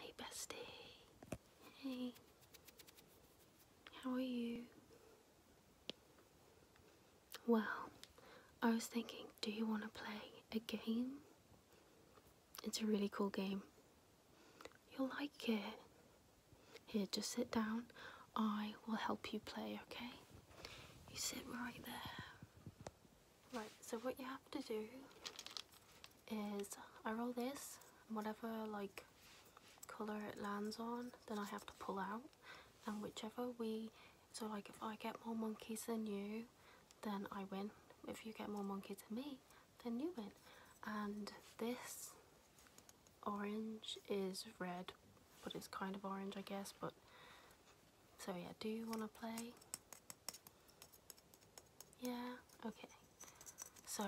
Hey bestie. Hey. How are you? Well, I was thinking, do you want to play a game? It's a really cool game. You'll like it. Here, just sit down. I will help you play, okay? You sit right there. Right, so what you have to do is I roll this, whatever like colour it lands on, then I have to pull out, and whichever we, so like if I get more monkeys than you, then I win. If you get more monkeys than me, then you win. And this orange is red, but it's kind of orange I guess, but, so yeah, do you want to play? Yeah, okay. So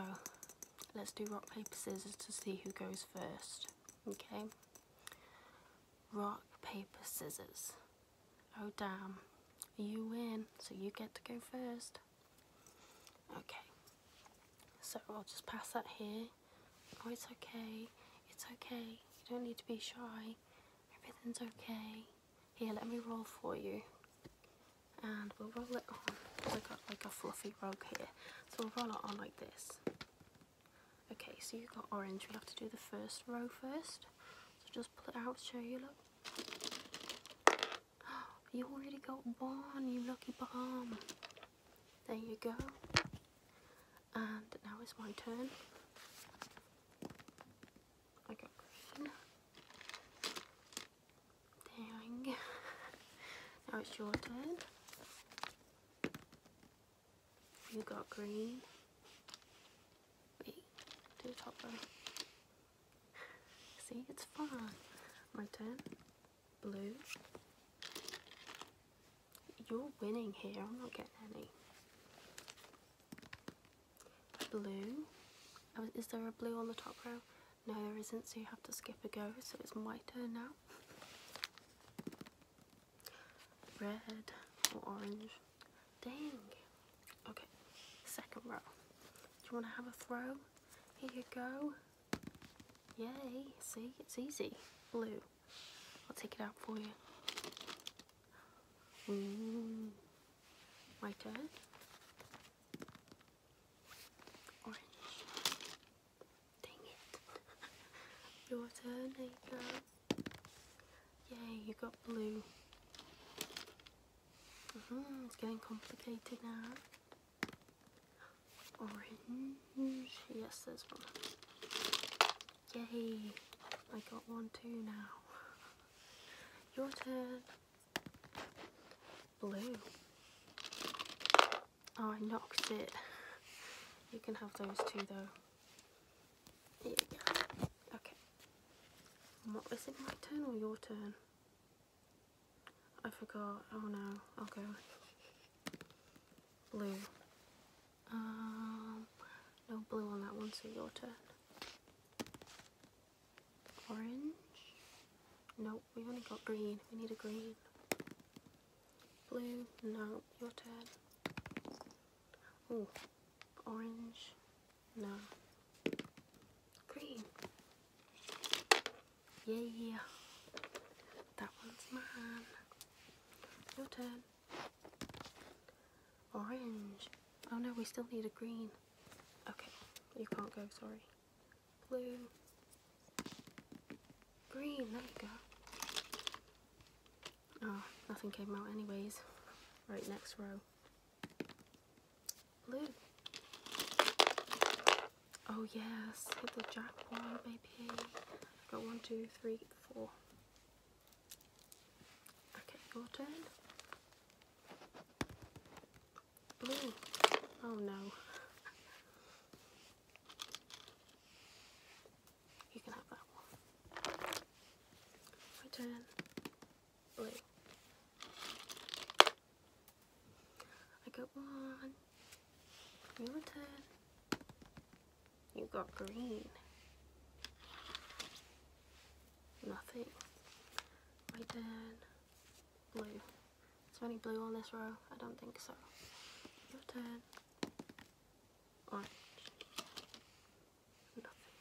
let's do rock, paper, scissors to see who goes first. Okay? Rock, paper, scissors. Oh damn. You win, so you get to go first. Okay. So I'll just pass that here. Oh, it's okay. It's okay. You don't need to be shy. Everything's okay. Here, let me roll for you. And we'll roll it on. I got like a fluffy rug here. So we'll roll it on like this. Okay, so you've got orange. We'll have to do the first row first. So just pull it out show you, look. You already got one, you lucky bum. There you go. And now it's my turn like now it's your turn. You got green. Wait, do the top one. See, it's fine. My turn. Blue. You're winning here, I'm not getting any blue. Oh, is there a blue on the top row? No, there isn't, so you have to skip a go. So it's my turn now. Red or orange. Dang. Okay, second row. Do you want to have a throw? Here you go. Yay. See, it's easy. Blue. I'll take it out for you. Mm. My turn. Orange. Dang it. Your turn, Nathan. Yay, you got blue. Mm-hmm, it's getting complicated now. Orange. Yes, there's one. Yay. I got one too now. Your turn blue. Oh, I knocked it. You can have those two though. Here we go. Okay. what was it, my turn or your turn? I forgot. Oh no. Okay. Blue. Um, no blue on that one, so your turn. Orange. Nope, we only got green. We need a green. Blue. No, your turn. Oh, orange. No. Green. Yeah. That one's mine. Your turn. Orange. Oh no, we still need a green. Okay, you can't go, sorry. Blue. Green, there we go. Oh, nothing came out anyways. Right, next row. Blue. Oh yes, hit the jackpot, baby. Got one, two, three, four. Okay, your turn. Oh no. You can have that one. Return blue. I got one. You return. You got green nothing. Right turn. blue. Is there any blue on this row? I don't think so. Your turn. Orange. Nothing.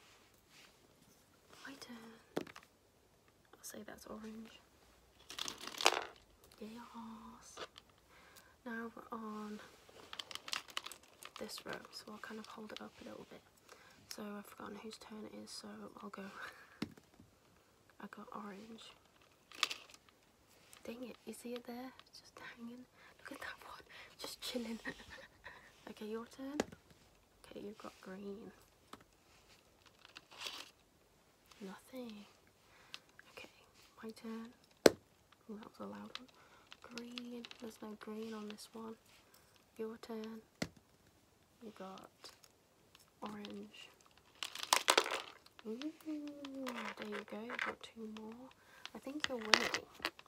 My turn. I'll say that's orange. Yes. Now we're on this row, so I'll kind of hold it up a little bit. So I've forgotten whose turn it is, so I'll go. I got orange. Dang it, is he there? Just hanging. Look at that one, just chilling. okay, your turn. Okay, you've got green. Nothing. Okay, my turn. Ooh, that was a loud one. Green. There's no green on this one. Your turn. You got orange. there you go. You've got two more. I think you're winning.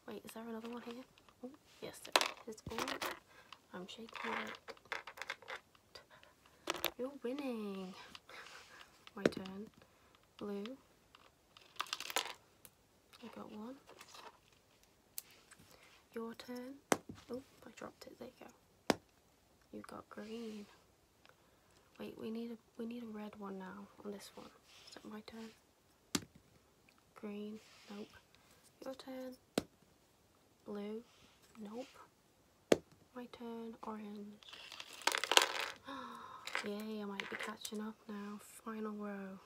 Wait, is there another one here? Ooh, yes, there is. Orange. I'm shaking it. You're winning. My turn. Blue. I got one. Your turn. Oh, I dropped it. There you go. You got green. Wait, we need a we need a red one now on this one. Is that my turn? Green. Nope. Your turn. Blue. Nope. My turn. Orange. Yay, I might be catching up now. Final row.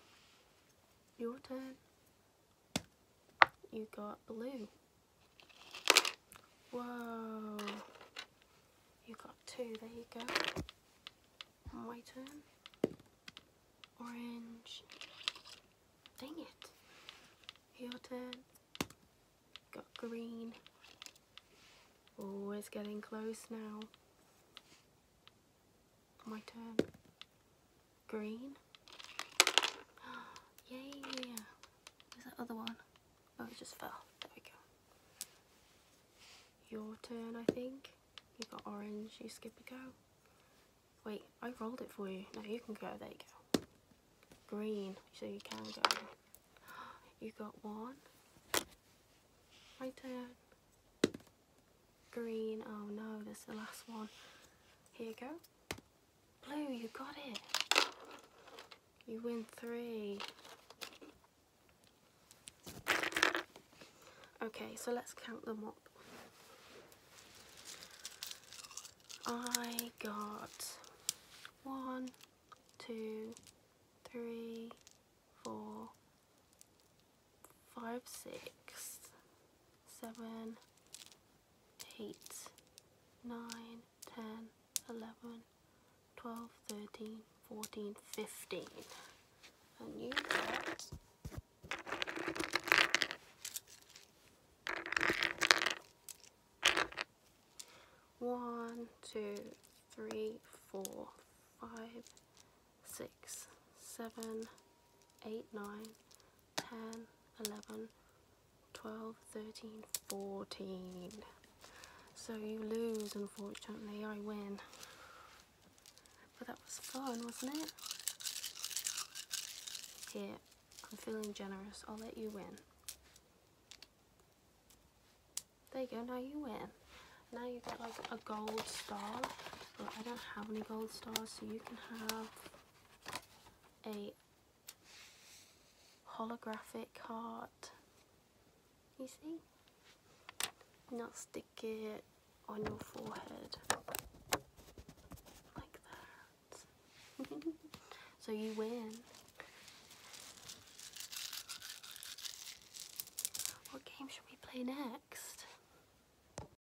Your turn you got blue. Whoa. You got two, there you go. And my turn. Orange. Dang it. Your turn. Got green. Oh, it's getting close now. My turn green. yeah, Where's that other one? Oh, it just fell. There we go. Your turn, I think. You got orange, you skip a go. Wait, I rolled it for you. Now you can go. There you go. Green, so you can go. You got one. My turn. Green, oh no, that's the last one. Here you go. Blue, you got it. You win three. Okay, so let's count them up. I got one, two, three, four, five, six, seven, eight, nine, ten, eleven, twelve, thirteen, fourteen, fifteen. And you got one, two, three, four, five, six, seven, eight, nine, 10, 11, 12, 13, 14. So you lose, unfortunately, I win. But that was fun, wasn't it? Here, I'm feeling generous, I'll let you win. There you go, now you win. Now you get like a gold star, but I don't have any gold stars, so you can have a holographic heart. You see? Not stick it on your forehead like that. so you win. What game should we play next?